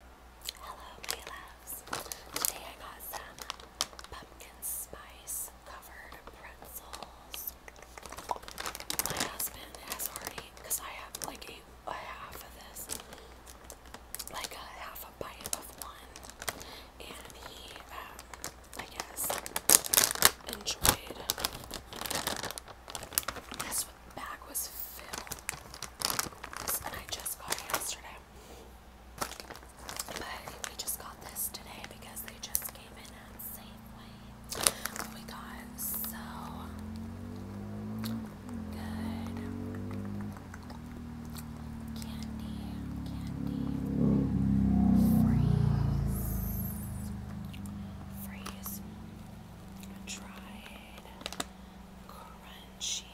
Hello, my Today I got some pumpkin spice covered pretzels. My husband has already, I have like a, half of this, like a half a bite of one, and he, um, I guess, enjoyed this with bag was filled. This I just got yesterday. But we just got this today because they just came in at Safeway. We got so good candy, candy, freeze, freeze, dried crunch she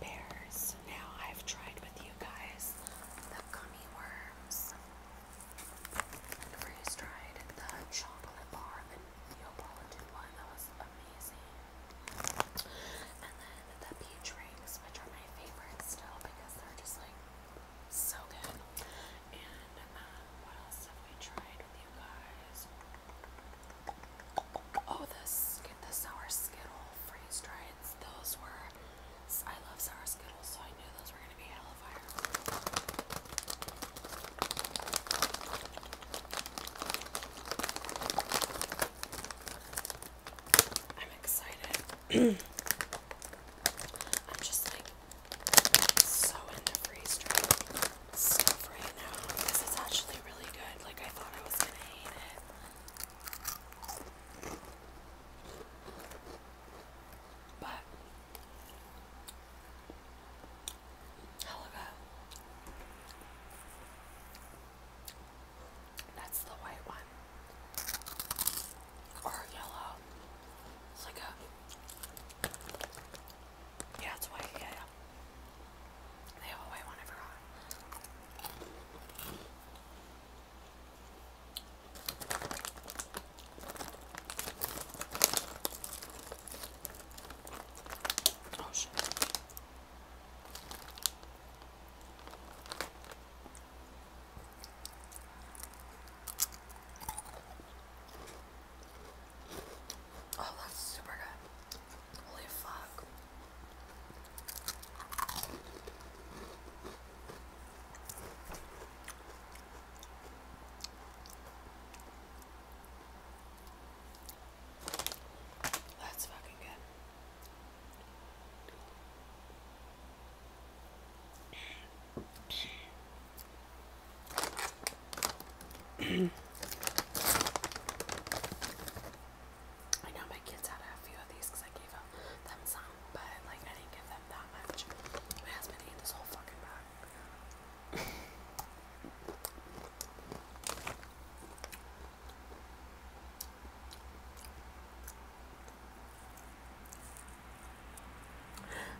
bears. Now I've tried with you guys the gummy worms. Freeze tried the chocolate bar vanilla ball in one. That was amazing. And then the peach rings, which are my favorite still because they're just like so good. And um, what else have we tried? Oh, this get sour skittle freeze dries. Those were I love sour skittles, so I knew those were gonna be hella fire. I'm excited. I'm just like so into freeze dried stuff right now because it's actually really good. Like I thought I was gonna hate it. But hell oh, that's the white one. Or yellow. It's like a yeah, that's why, They have white one, I forgot. Oh, shit. Oh, that's super good. Holy fuck. That's fucking good. I know my kids had a few of these because I gave them, some, but like I didn't give them that much. My husband ate this whole fucking bag.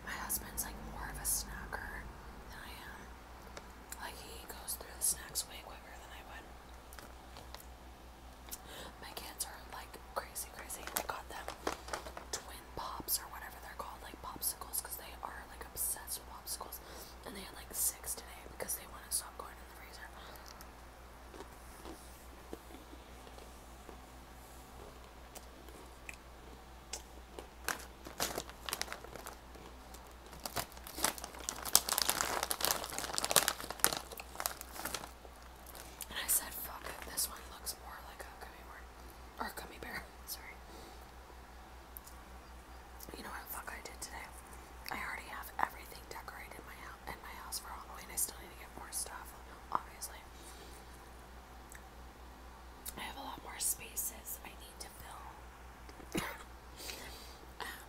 My husband's like more of a snacker than I am. Like he goes through the snacks way quicker than I would. My kids are like crazy, crazy. I got them twin pops or whatever they're called, like popsicles, because they are like obsessed with popsicles. And they had like six today because they want to stop going in the freezer. And I said, fuck this one looks more like a gummy worm. Or gummy bear, sorry. You know what fuck I did today? I already have everything decorated in my, in my house for Halloween. I still need to get more stuff, obviously. I have a lot more spaces I need to fill. Um,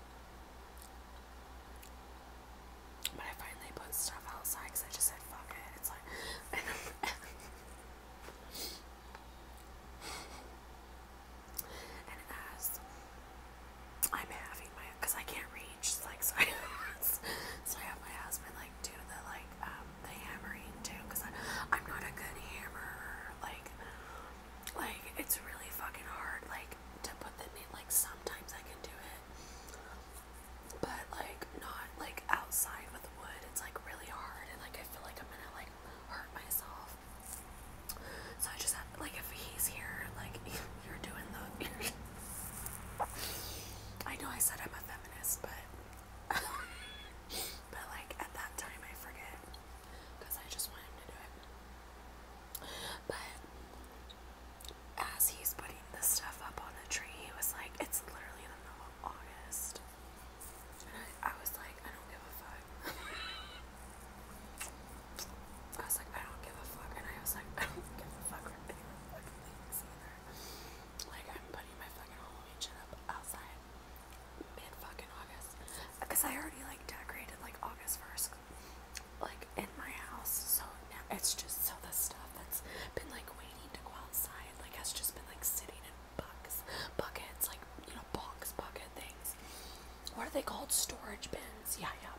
but I finally put stuff outside because I just said fuck it. It's like. and as I'm having my. I can't reach, like, so I have my husband, like, do the, like, um, the hammering too, cause I, I'm not a good hammerer. Like, like it's really fucking hard. Like to put the nail. Like sometimes I can do it, but like not like outside with wood. It's like really hard, and like I feel like I'm gonna like hurt myself. So I just like if he's here, like you're doing the. I know I said I'm a feminist, but but like at that time I forget because I just want to do it. But as he's putting the stuff up on the tree, he was like, "It's literally the middle of August," and I, was like, "I don't give a fuck." I was like, "I don't give a fuck," and I was like, "I don't give a fuck with anyone like, I'm putting my fucking Halloween shit up outside mid fucking August. Because I already, like, decorated, like, August 1st, like, in my house. So now it's just so the stuff that's been, like, waiting to go outside, like, has just been, like, sitting in bucks, buckets, like, you know, box bucket things. What are they called? Storage bins. Yeah, yeah.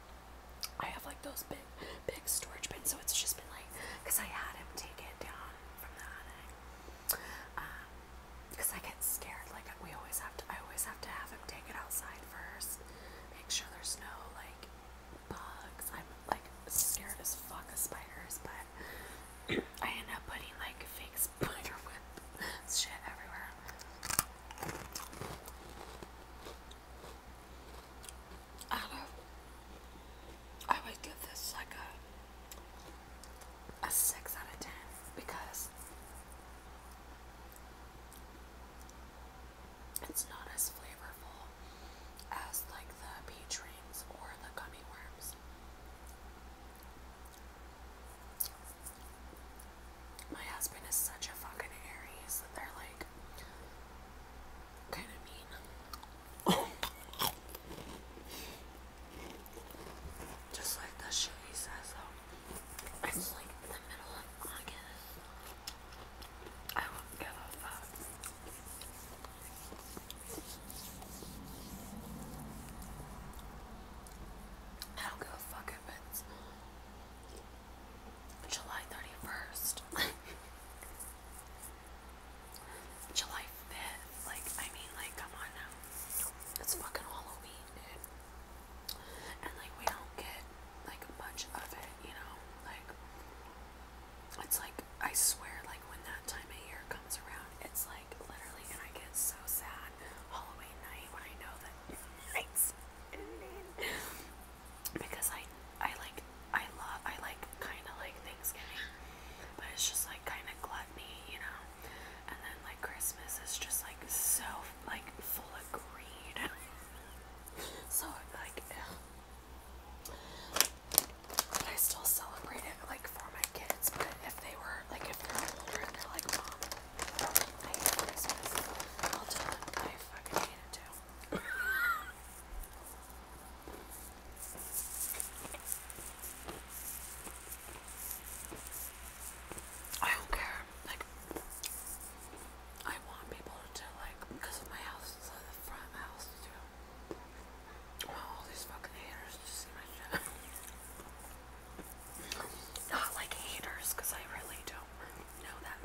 I have, like, those big big storage bin, so it's just been like because I had him take it down from the attic. because um, I get scared, like we always have to. I always have to have him take it outside first, make sure there's no like bugs. I'm like scared as fuck of spiders, but I end up putting like fake spider web shit everywhere. I would give this like a a six out of ten because it's not as flavorful as like the peach rings or the gummy worms. My husband is such a fucking Aries that they're like just like the shit he says, It's like the middle of August. I won't give a fuck. I don't give a fuck if it's July 31st. July 5th. Like, I mean, like, come on now. It's fucking Halloween, dude. And, like, we don't get, like, much of it, you know? Like, it's like, I swear, like, when that time of year comes around, it's like, literally, and I get so sad Halloween night when I know that night's because I I like I love I like kind of like Thanksgiving, but it's just like kind of gluttony, you know. And then like Christmas is just like so like full of greed. so like, but I still celebrate it like for my kids. But if they were like if they're older and they're like, Mom, I will tell I fucking hate it too. I don't care. Like, I want people to, like, because my house is the front house, too. Oh, all these fucking haters to see my shit. Not like haters, because I really don't know that